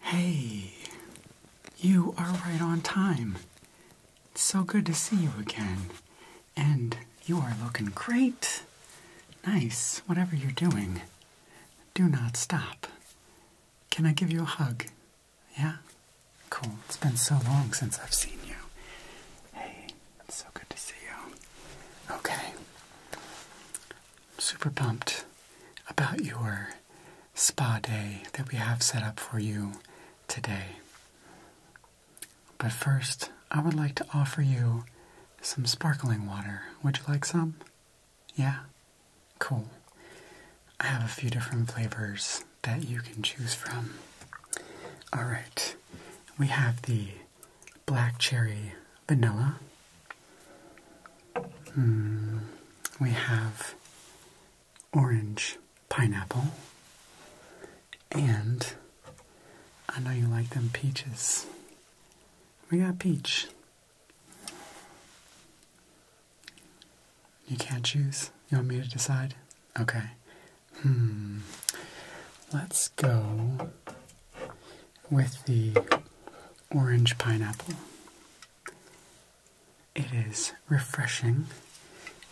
Hey, you are right on time. It's so good to see you again. And you are looking great. Nice, whatever you're doing. Do not stop. Can I give you a hug? Yeah? Cool. It's been so long since I've seen you. Hey, it's so good to see you. Okay. super pumped about your spa day that we have set up for you today. But first, I would like to offer you some sparkling water. Would you like some? Yeah, cool. I have a few different flavors that you can choose from. Alright, we have the black cherry vanilla. Mm, we have orange pineapple. And I know you like them peaches. We got peach. You can't choose? You want me to decide? Okay. Hmm. Let's go with the orange pineapple. It is refreshing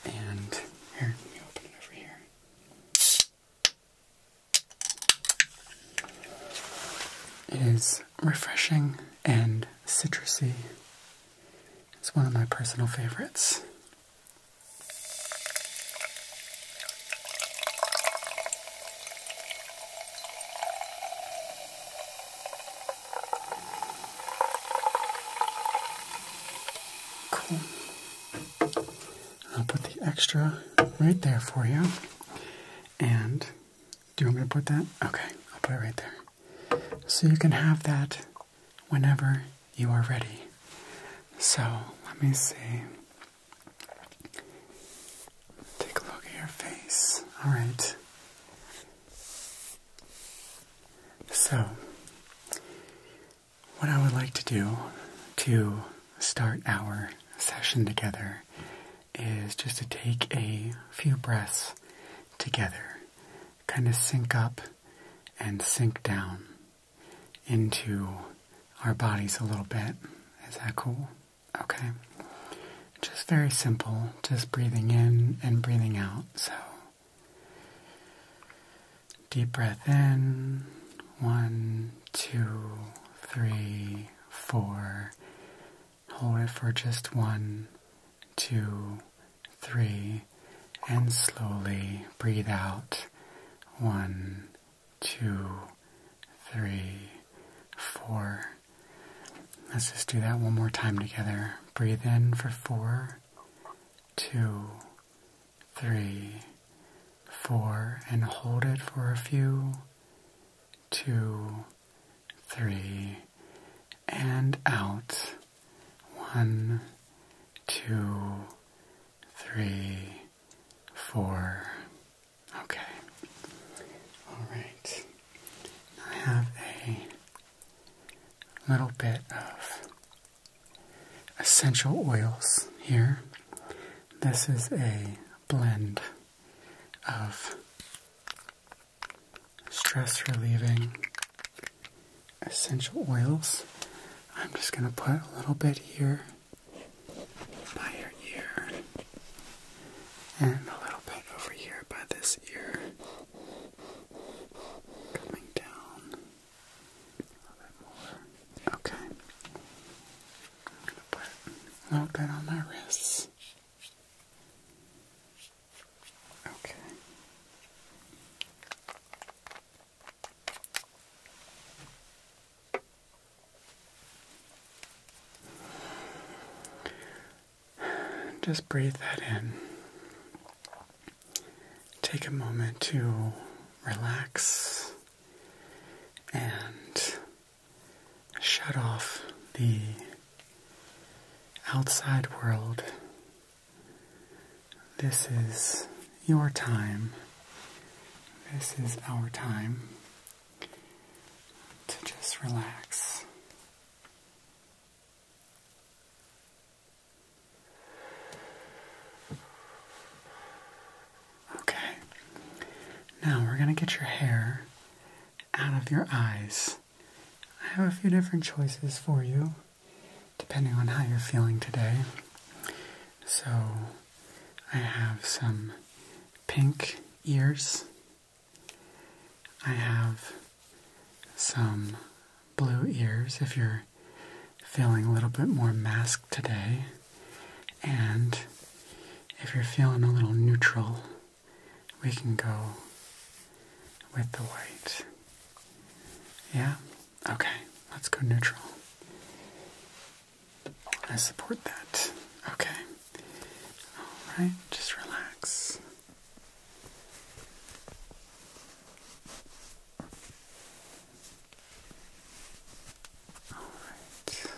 and here, let me open it over here. Is refreshing and citrusy. It's one of my personal favorites. Cool. I'll put the extra right there for you. And do you want me to put that? Okay, I'll put it right there. So you can have that whenever you are ready. So let me see. Take a look at your face. All right. So, what I would like to do to start our session together is just to take a few breaths together, kind of sink up and sink down into our bodies a little bit. Is that cool? Okay. Just very simple, just breathing in and breathing out. So, deep breath in, one, two, three, four. Hold it for just one, two, three, and slowly breathe out. One, two, three, four. Let's just do that one more time together. Breathe in for four, two, three, four, and hold it for a few, two, three, and out, one, two, three, four. Okay. All right. I have a little bit of essential oils here. This is a blend of stress relieving essential oils. I'm just going to put a little bit here by your ear and a little bit over here by this ear. Coming down a little bit more. Okay. I'm gonna But not good on my wrists. Okay. Just breathe that in. Take a moment to relax and shut off the outside world. This is your time. This is our time to just relax. Okay. Now we're going to get your hair out of your eyes. I have a few different choices for you depending on how you're feeling today. So I have some pink ears. I have some blue ears if you're feeling a little bit more masked today. And if you're feeling a little neutral, we can go with the white. Yeah? Okay, let's go neutral. I support that. Okay. Alright, just relax. Alright.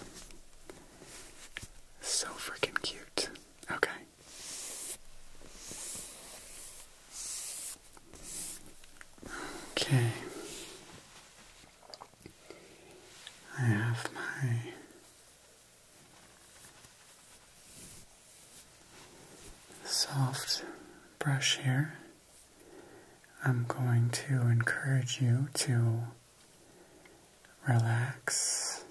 So freaking cute. Okay. Okay. I have my soft brush here. I'm going to encourage you to relax.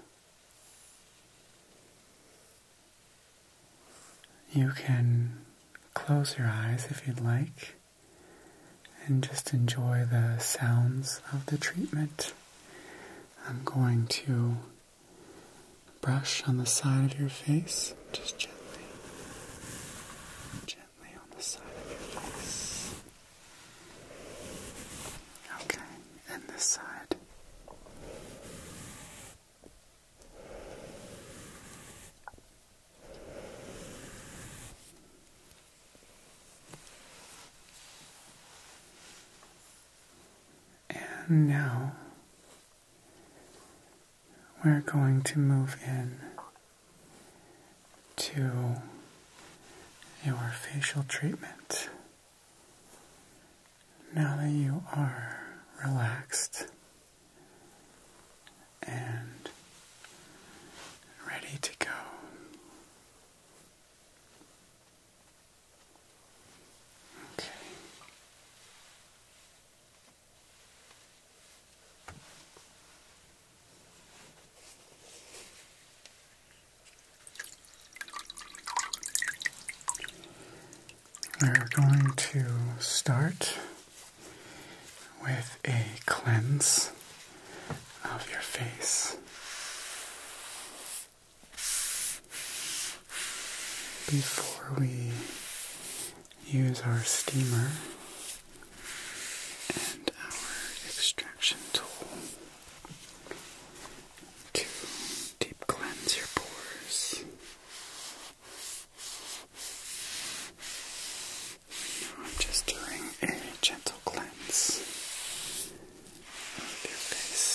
You can close your eyes if you'd like and just enjoy the sounds of the treatment. I'm going to brush on the side of your face just gently, gently on the side of your face. Okay, and this side. And now we're going to move in to your facial treatment. Now that you are relaxed and ready to go. Okay. We're going to start with a cleanse of your face. Before we use our steamer and our extraction tool to deep cleanse your pores. I'm just doing a gentle cleanse of your face.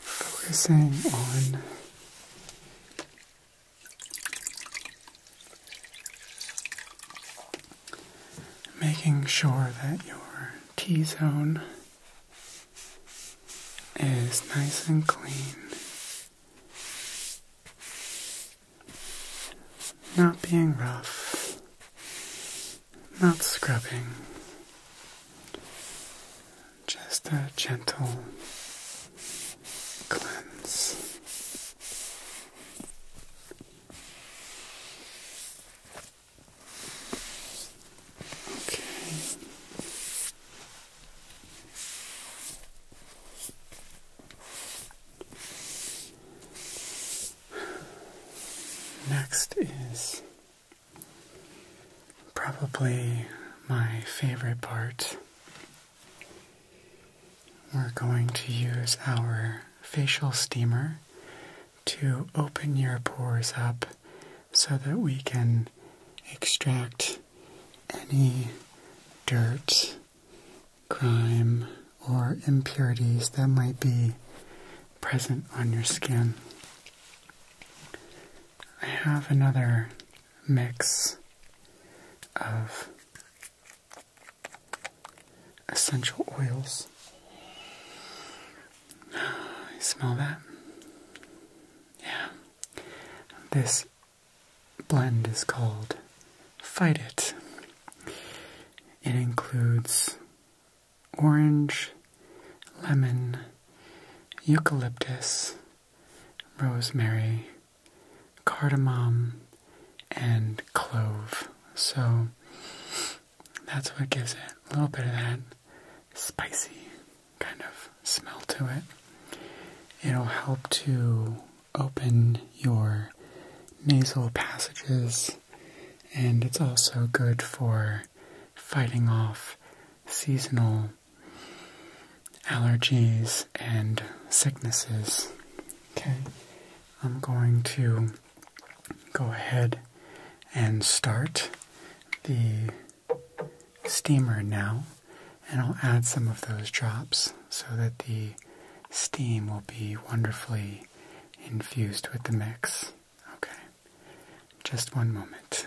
Focusing on making sure that your T zone is nice and clean, not being rough, not scrubbing, just a gentle cleanse. Okay. Next is probably my favorite part. We're going to use our facial steamer to open your pores up so that we can extract any dirt, grime, or impurities that might be present on your skin. I have another mix of essential oils. I smell that? Yeah. This blend is called Fight It. It includes orange, lemon, eucalyptus, rosemary, cardamom, and clove. So that's what gives it a little bit of that spicy kind of smell to it. It'll help to open your nasal passages, and it's also good for fighting off seasonal allergies and sicknesses. Okay, I'm going to go ahead and start the steamer now and I'll add some of those drops so that the steam will be wonderfully infused with the mix. Okay, just one moment.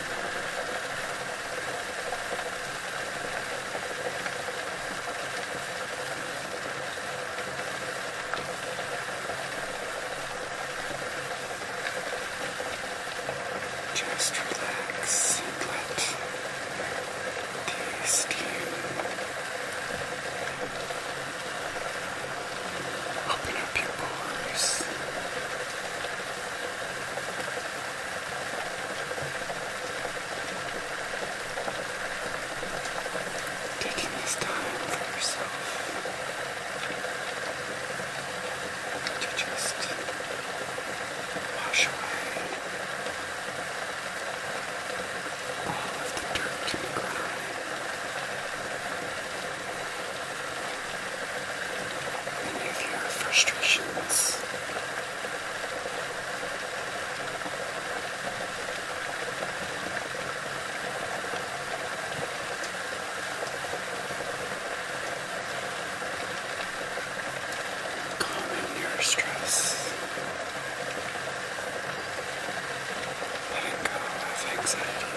Just relax and let the steam Open up your pores. Taking this time for yourself to just wash away all of the dirt and grime any of your frustrations. Calming your stress. Letting go of anxieties. Letting go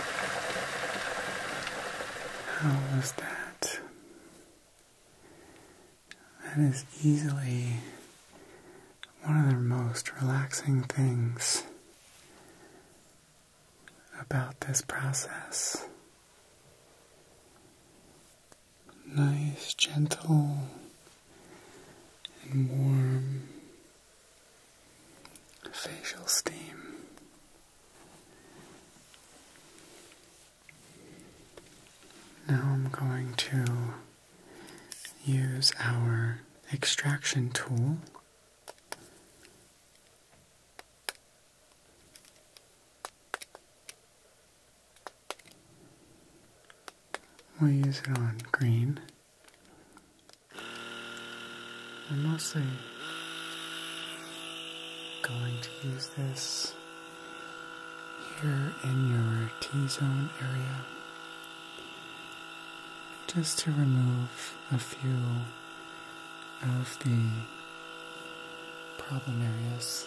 of how was that? That is easily one of the most relaxing things about this process. Nice, gentle, and warm facial steam. Now I'm going to use our extraction tool. We'll use it on green I'm also going to use this here in your T zone area just to remove a few of the problem areas.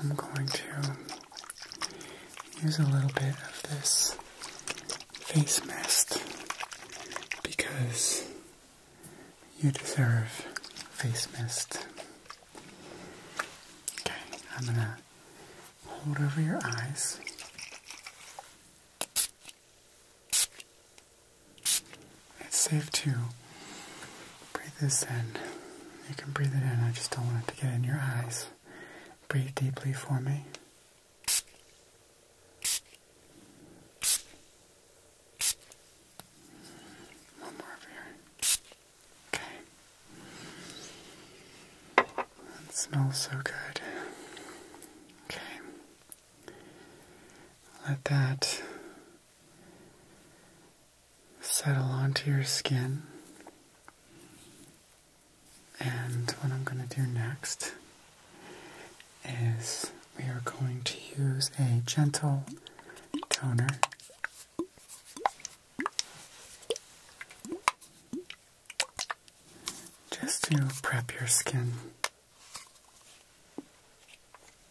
I'm going to use a little bit of this face mist because you deserve face mist. Okay, I'm gonna hold over your eyes. It's safe to breathe this in. You can breathe it in, I just don't want it to get in your eyes. Breathe deeply for me. One more here. Okay. That smells so good. Okay. Let that settle onto your skin. And what I'm going to do next is we are going to use a gentle toner. Just to prep your skin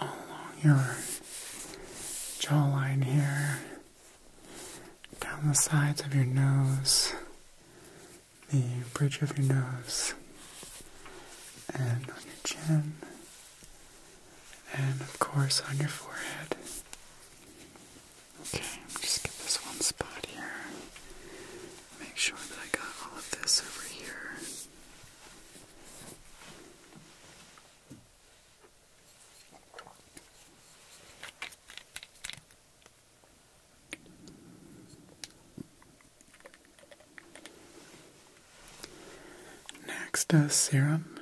along your jawline here, down the sides of your nose, the bridge of your nose, and on your chin, and of course on your forehead. Okay, just get this one spot here. Make sure that I got all of this over here. Next, a serum.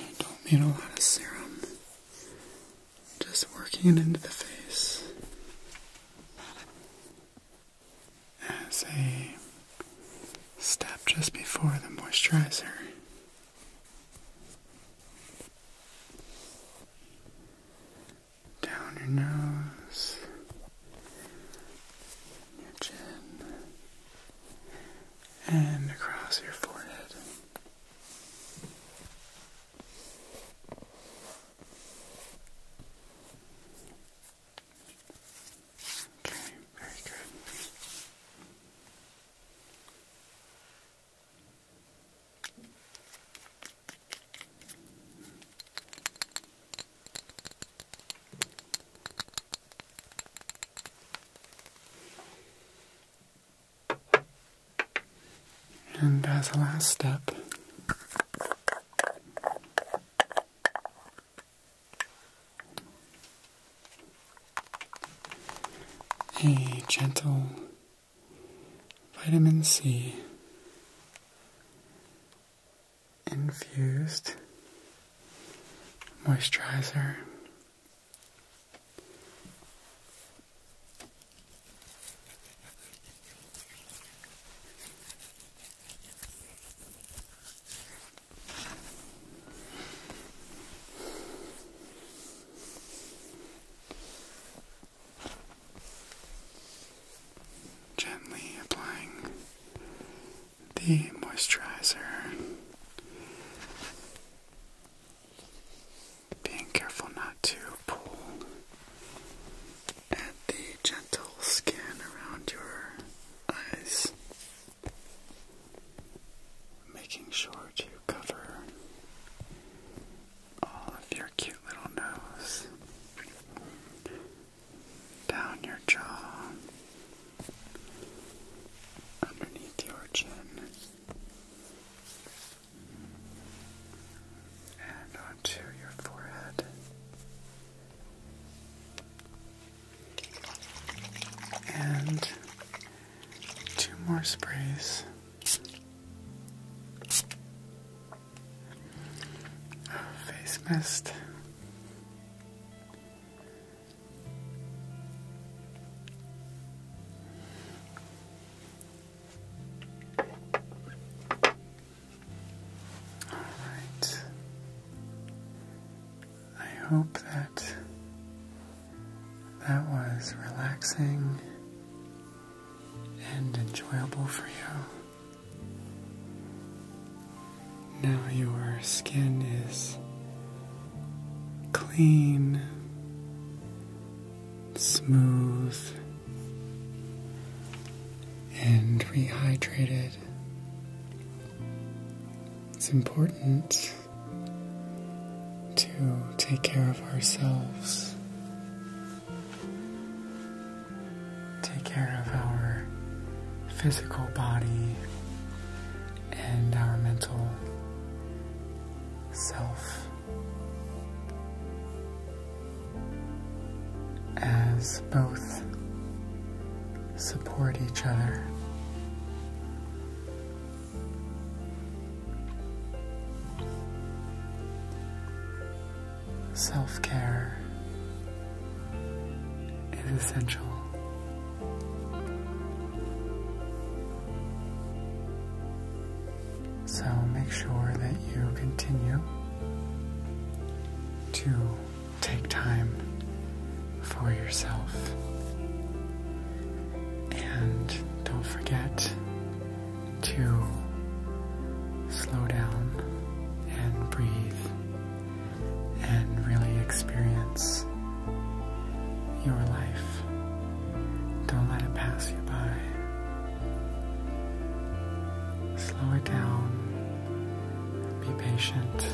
You don't need a lot of serum, just working it into the face as a step just before the moisturizer down your nose, your chin, and across your forehead. Okay, very good. And as a last step, a gentle Vitamin C infused moisturizer. Gently applying the moisturizer, being careful not to pull at the gentle skin around your eyes, making sure to cover all oh, of your cute little nose, down your jaw, underneath your chin, and onto your forehead. And two more sprays oh, face mist. All right. I hope that that was relaxing and enjoyable for you. Now your skin is clean, smooth, and rehydrated. It's important to take care of ourselves, take care of our physical body and our mental self. As both support each other Self care is essential. So make sure that you continue to take time for yourself and don't forget to slow down and breathe and really experience your life. Don't let it pass you by. Slow it down. Be patient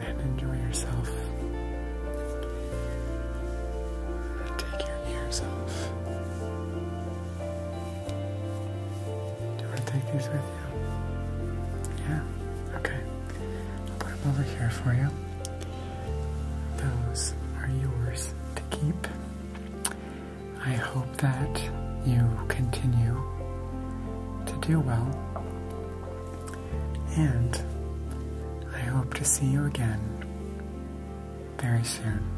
and enjoy yourself. Take your ears off. Do you take these with you? Yeah, okay. I'll put them over here for you. Those are yours to keep. I hope that you continue to do well and I hope to see you again very soon.